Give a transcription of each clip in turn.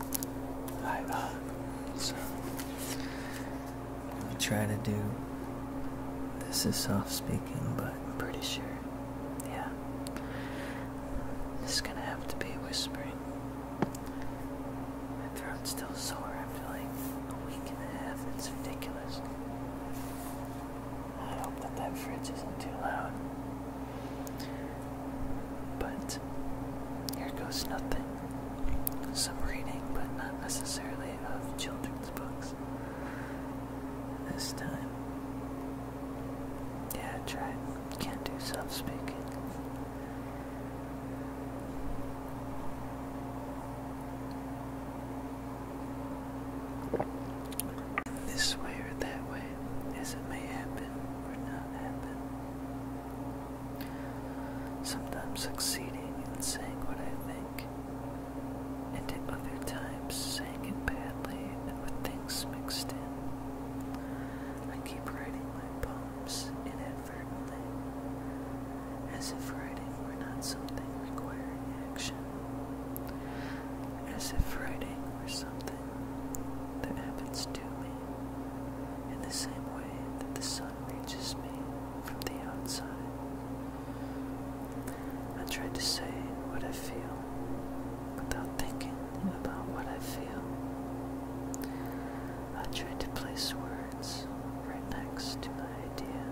I'm gonna try to do this is soft speaking, but I'm pretty sure. Yeah. This is gonna have to be whispering. My throat's still sore after like a week and a half. It's ridiculous. I hope that that fridge isn't too loud. But here goes nothing. Some reading, but not necessarily of children's books. This time. Yeah, I tried. Can't do self speaking. This way or that way, as it may happen or not happen sometimes succeeding in saying what I think, and at other times saying it badly and with things mixed in. I keep writing my poems inadvertently, as if writing were not something requiring action, as if writing were something that happens to me, in the same way that the sun reaches me from the outside. I try to say what I feel without thinking about what I feel. I try to place words right next to my idea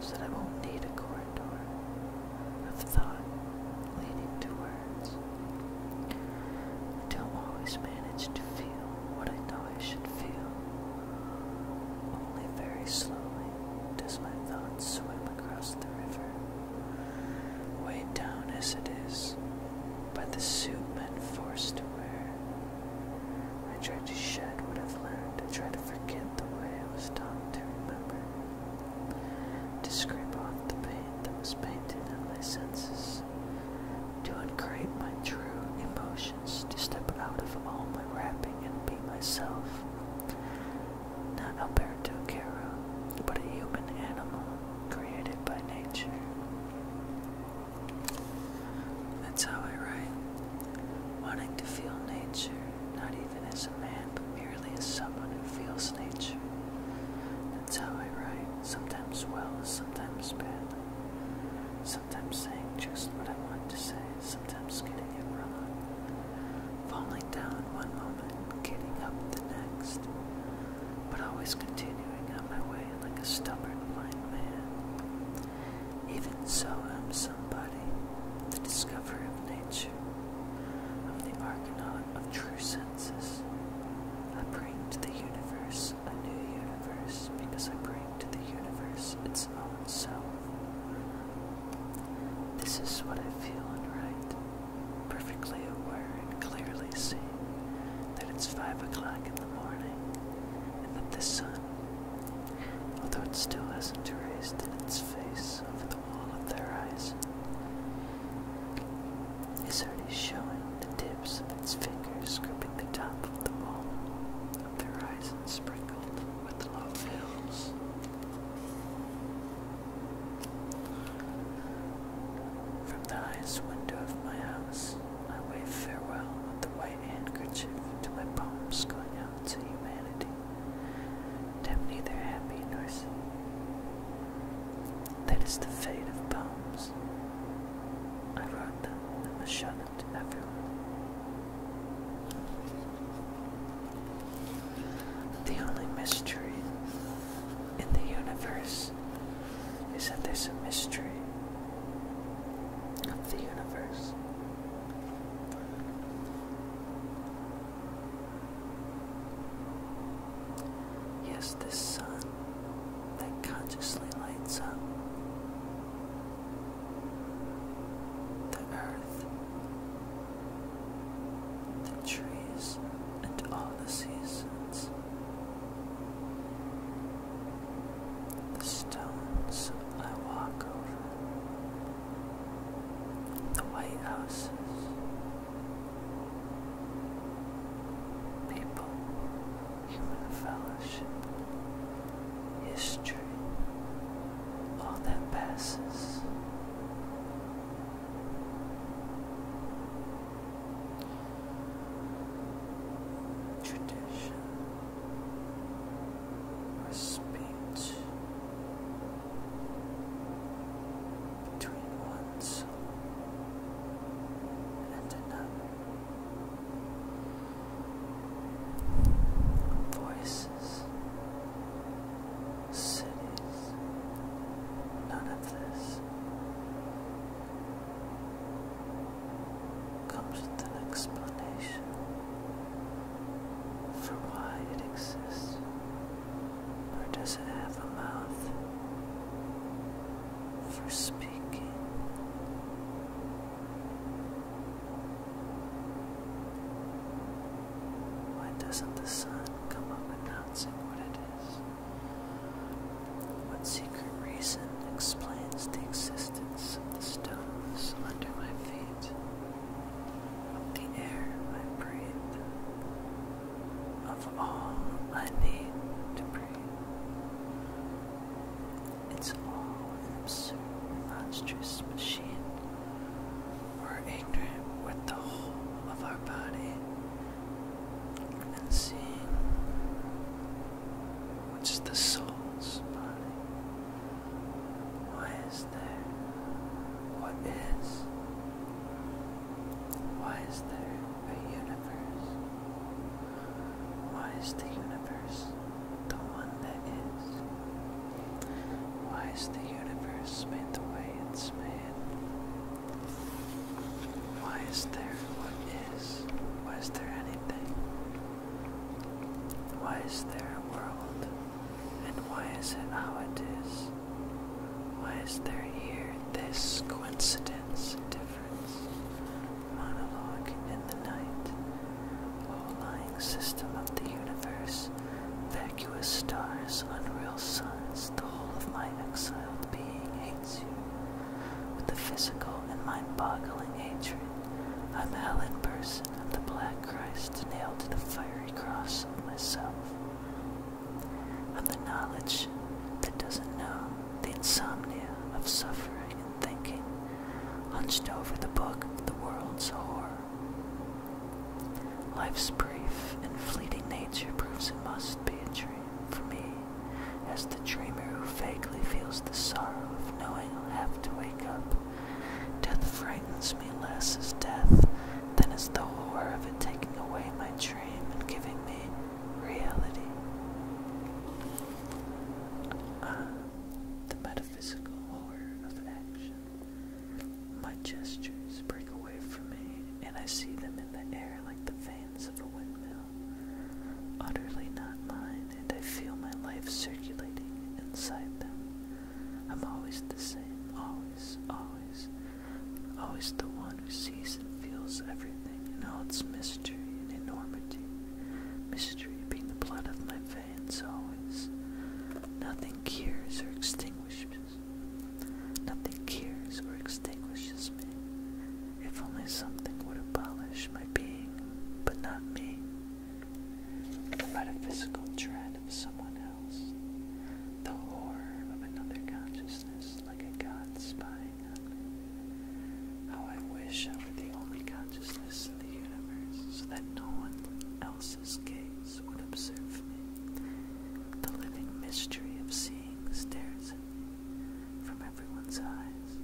so that I won't need a corridor of thought leading to words. I don't always manage to feel what I know I should feel. Only very slowly does my thought swim across the river, weighed down as it is by the suit men forced to wear. I try to shed what I've learned, I try to forget the way I was taught to remember to scrape off the paint that was painted on my senses, to uncreate my true emotions, to step out of all my wrapping and be myself. Not Alberto Caro, but a human animal created by nature. That's how I write, wanting to feel nature, not even as a man, but merely as someone who feels nature. That's how I write, sometimes well, sometimes badly. Sometimes saying just what I want to say, sometimes getting it wrong. Falling down one moment, getting up the next. But always continuing on my way like a stubborn blind man. Even so, I'm somebody, the discovery of nature, of the Argonaut of true senses. I bring to the universe a new universe because I bring to the universe its own self. This is what I feel and write, perfectly aware and clearly seeing that it's five o'clock in the morning and that the sun, although it still hasn't raised in its face over the the wall their eyes. His heart is showing the tips of its fingers gripping the top of the wall of the horizon sprinkled with low hills. From the highest window of my house, I wave farewell with the white handkerchief to my poems going out to humanity. Them neither happy nor sad. That is the fate of poems. I wrote them and must show them to everyone. The only mystery in the universe is that there's a mystery of the universe. Yes, this sun that consciously lights up the earth, the trees, and all the seasons, the stones I walk over the White Houses, people, human fellowship, history, all that passes. Tradition or between one soul and another. Voices, cities, none of this comes with explanation for why it exists? Or does it have a mouth for speaking? Why doesn't the sun come up announcing what it is? What secret reason explains the existence of the stones under my feet? the air I breathe, of all I need to breathe. It's all an absurd, monstrous machine. We're ignorant with the whole of our body and seeing which is the soul's body. Why is there? What is? Why is there a universe? Why is the universe the one that is? Why is the universe made the way it's made? Why is there what is? Why is there anything? Why is there a world? And why is it how it is? Why is there here this coincidence difference? Monologue in the night. O lying system of the universe, vacuous stars, unreal suns, the whole of my exiled being hates you with a physical and mind boggling hatred. I'm Alan Person of the Black Christ nailed to the fiery cross of myself. I'm the knowledge that doesn't know, the insomnia of suffering and thinking, hunched over the book the world's horror. Life's brief and fleeting nature proves it must be a dream for me, as the dreamer who vaguely feels the sorrow of knowing I'll have to wake up Death frightens me less as death than as the horror of it taking away my dream and giving me reality. Ah, the metaphysical horror of action. My gestures break away from me, and I see them in the air like the vanes of a windmill. Utterly not mine, I feel my life circulating inside them. I'm always the same, always, always, always the one who sees and feels everything in all its mystery and enormity. Mystery being the blood of my veins, always. Nothing cures or extinguishes. Nothing cures or extinguishes me. If only something would abolish my being, but not me the metaphysical dread of someone else, the horror of another consciousness like a god spying on me. How I wish I were the only consciousness in the universe so that no one else's gaze would observe me. The living mystery of seeing stares at me from everyone's eyes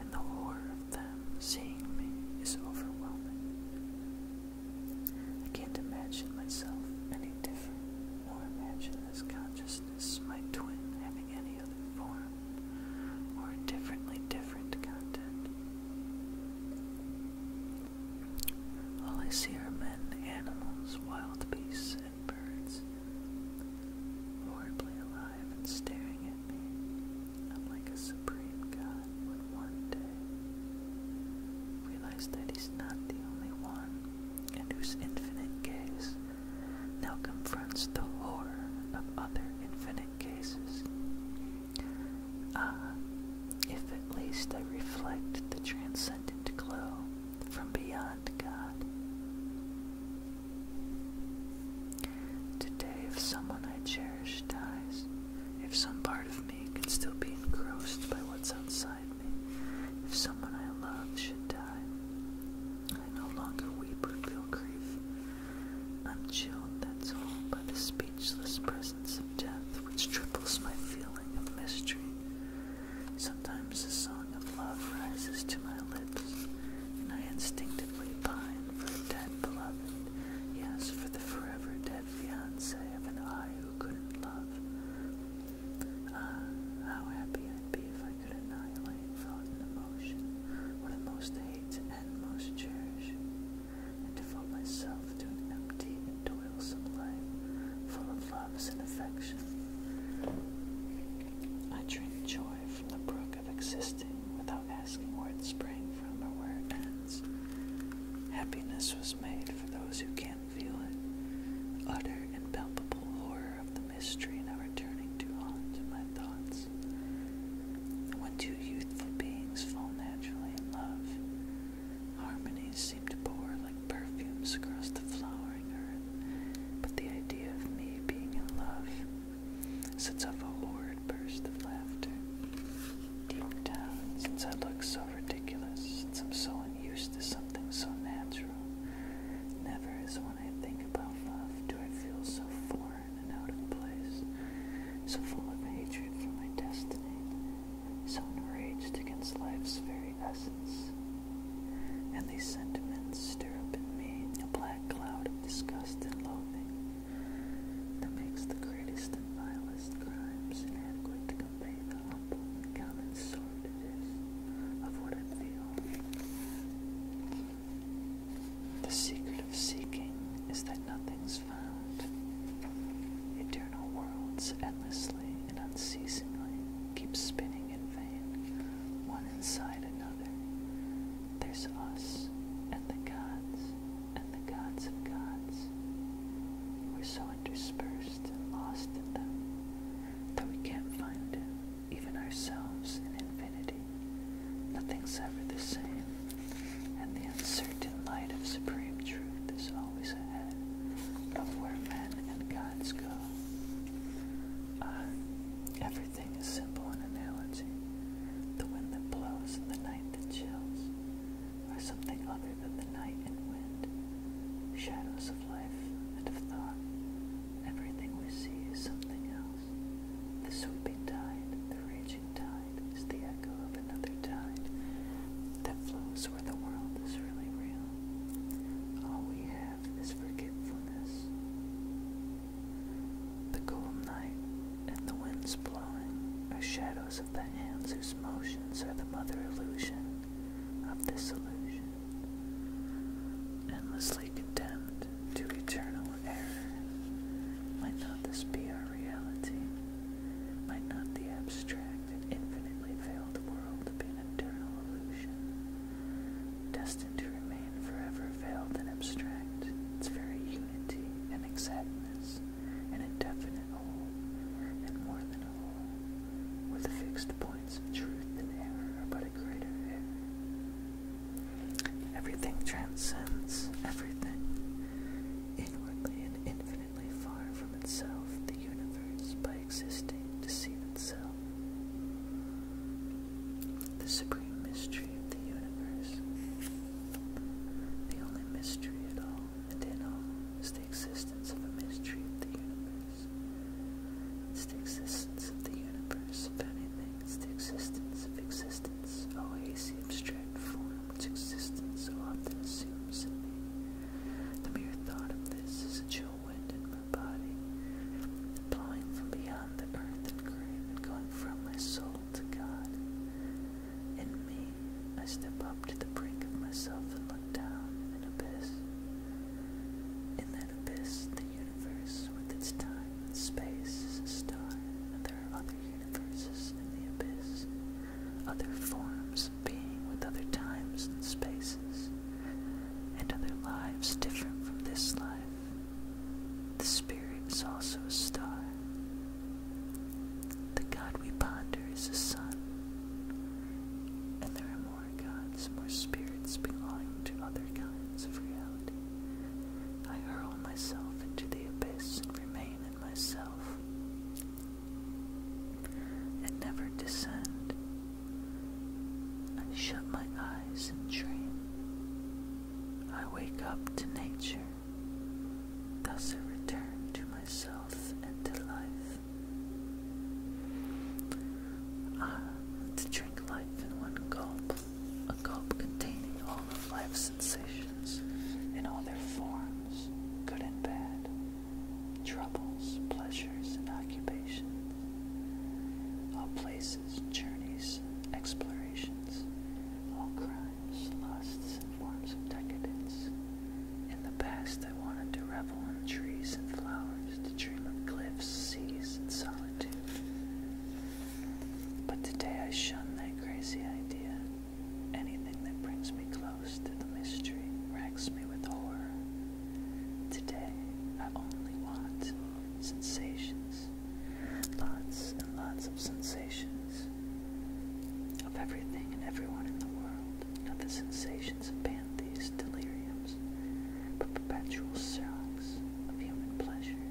and the horror of them seeing me is overwhelming. I can't imagine myself any different, nor imagine this consciousness, my twin, having any other form, or a differently different content. All I see are men, animals, wild beasts, and birds, horribly alive alive and staring at me. I'm like a supreme god would one day realize that he's not the only one, and whose infinite gaze now confronts the horror of other infinite cases. Ah, if at least they reflect the transcendent glow from beyond God. Today, if someone I cherish dies, if some part of me can still be engrossed by what's outside me, if someone I love should die, I no longer weep or feel grief. I'm chilled, that's all, by the speechless presence of death, which triples my feeling of mystery. Sometimes a song of love rises to my lips, and I instinctively pine for a dead beloved, yes, for the forever dead fiance of an I who couldn't love. Ah, how happy I'd be if I could annihilate thought and emotion, what I most hate and most cherish, and devote myself to an empty toilsome life, full of loves and affection. I drink joy from the brook of existing without asking where it sprang from or where it ends. Happiness was made for those who can not feel it. Utter and horror of the mystery now returning to haunt my thoughts. When two youthful beings fall naturally in love, harmonies seem to pour like perfumes across the flowering earth. But the idea of me being in love sets off a horrid burst of laughter. Deep down, since I look so ridiculous, since I'm so unused to something so natural, never is when I think about love do I feel so foreign and out of place, so full of hatred for my destiny, so enraged against life's very essence and these sentiments stir up in me a black cloud of disgust and loathing that makes the greatest and vilest crimes and inadequate to convey the humble common sort of this of what I feel. The secret of seeking is that nothing's found. Eternal worlds endlessly and unceasingly keep spinning in vain, one inside another. There's us and the gods and the gods of gods. We're so interspersed and lost in them that we can't find even ourselves in infinity. Nothing's ever the same, and the uncertain light of supreme truth is always ahead of where men and gods go. Uh, Everything is simple in analogy. The wind that blows and the night that chills are something other than the night and wind. Shadows of life and of thought. Everything we see is something else. The sweeping tide, the raging tide, is the echo of another tide that flows where the world is really real. All we have this forgetfulness. The cold night and the winds blowing are shadows of the hands whose motions are the mother illusion of this illusion. Endlessly condemned to eternal error. Might not this be our reality? Might not the abstract and infinitely veiled world be an eternal illusion? destined to remain forever veiled and abstract, its very unity and exactness, an indefinite whole, and more than a whole, where the fixed points of truth and error but a greater error. Everything transcends everything. Inwardly and infinitely far from itself, the universe, by by existing deceive itself. The supreme mystery of the universe, the only mystery at all and in all, is the existence of a mystery of the universe. It's the existence of the universe, if anything, it's the existence of existence, O hazy abstract form, which existence so often assumes in me. The mere thought of this is a wind in my body, blowing from beyond the earth and grave and going from my soul to God. In me, I step up to the brink of myself and look down an abyss. In that abyss, the universe with its time and space is a star, and there are other universes in the abyss, other forms being with other times and spaces, and other lives different from this life. The Spirit is also a star. The God we ponder is a sun, and there are more gods, more spirits belonging to other kinds of reality. I hurl myself into the abyss and remain in myself and never descend. I shut my eyes and dream. I wake up to nature. Thus I return to myself and to life. Ah, drink life in one gulp, a gulp containing all of life's sensations in all their forms, good and bad, troubles, pleasures, and occupations, all places, journeys, explorations, all crimes, lusts, and forms of decadence. In the past, I wanted to revel in trees and flowers, to dream of cliffs, seas, and solitude. But today I shun that crazy idea. Anything that brings me close ghost of the mystery racks me with horror. Today, I only want sensations, lots and lots of sensations of everything and everyone in the world, not the sensations of pantheist deliriums, but perpetual shocks of human pleasure.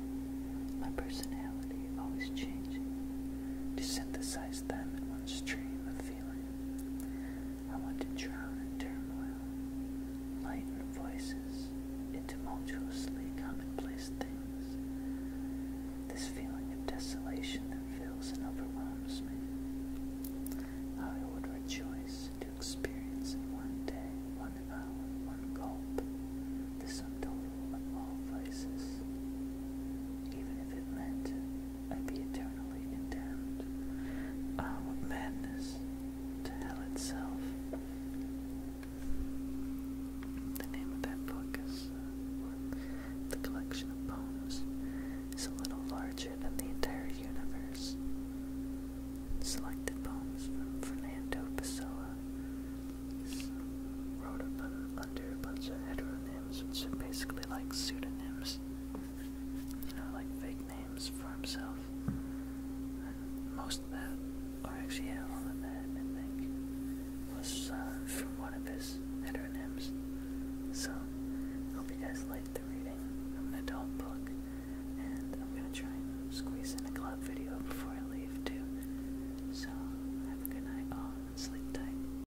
My personality always changing, to synthesize them in one stream of feeling. I want to drown in turmoil, lighten voices in tumultuously commonplace things. This feeling of desolation that fills and overwhelms me. I would rejoice to experience in one day, one hour, one gulp, the sum total of all voices, even if it meant I'd be eternally condemned. Ah, madness! To hell itself. The name of that book is uh, The Collection of Poems. It's a little larger than the entire universe. Selected poems from Fernando Pessoa. wrote under a bunch of heteronyms, which are basically like pseudonyms you know, like fake names for himself. most of that, or actually all of that, I think, was uh, from one of his heteronyms. So, hope you guys liked the reading of an adult book, and I'm gonna try and squeeze in a club video before I leave too. So, have a good night all, sleep tight.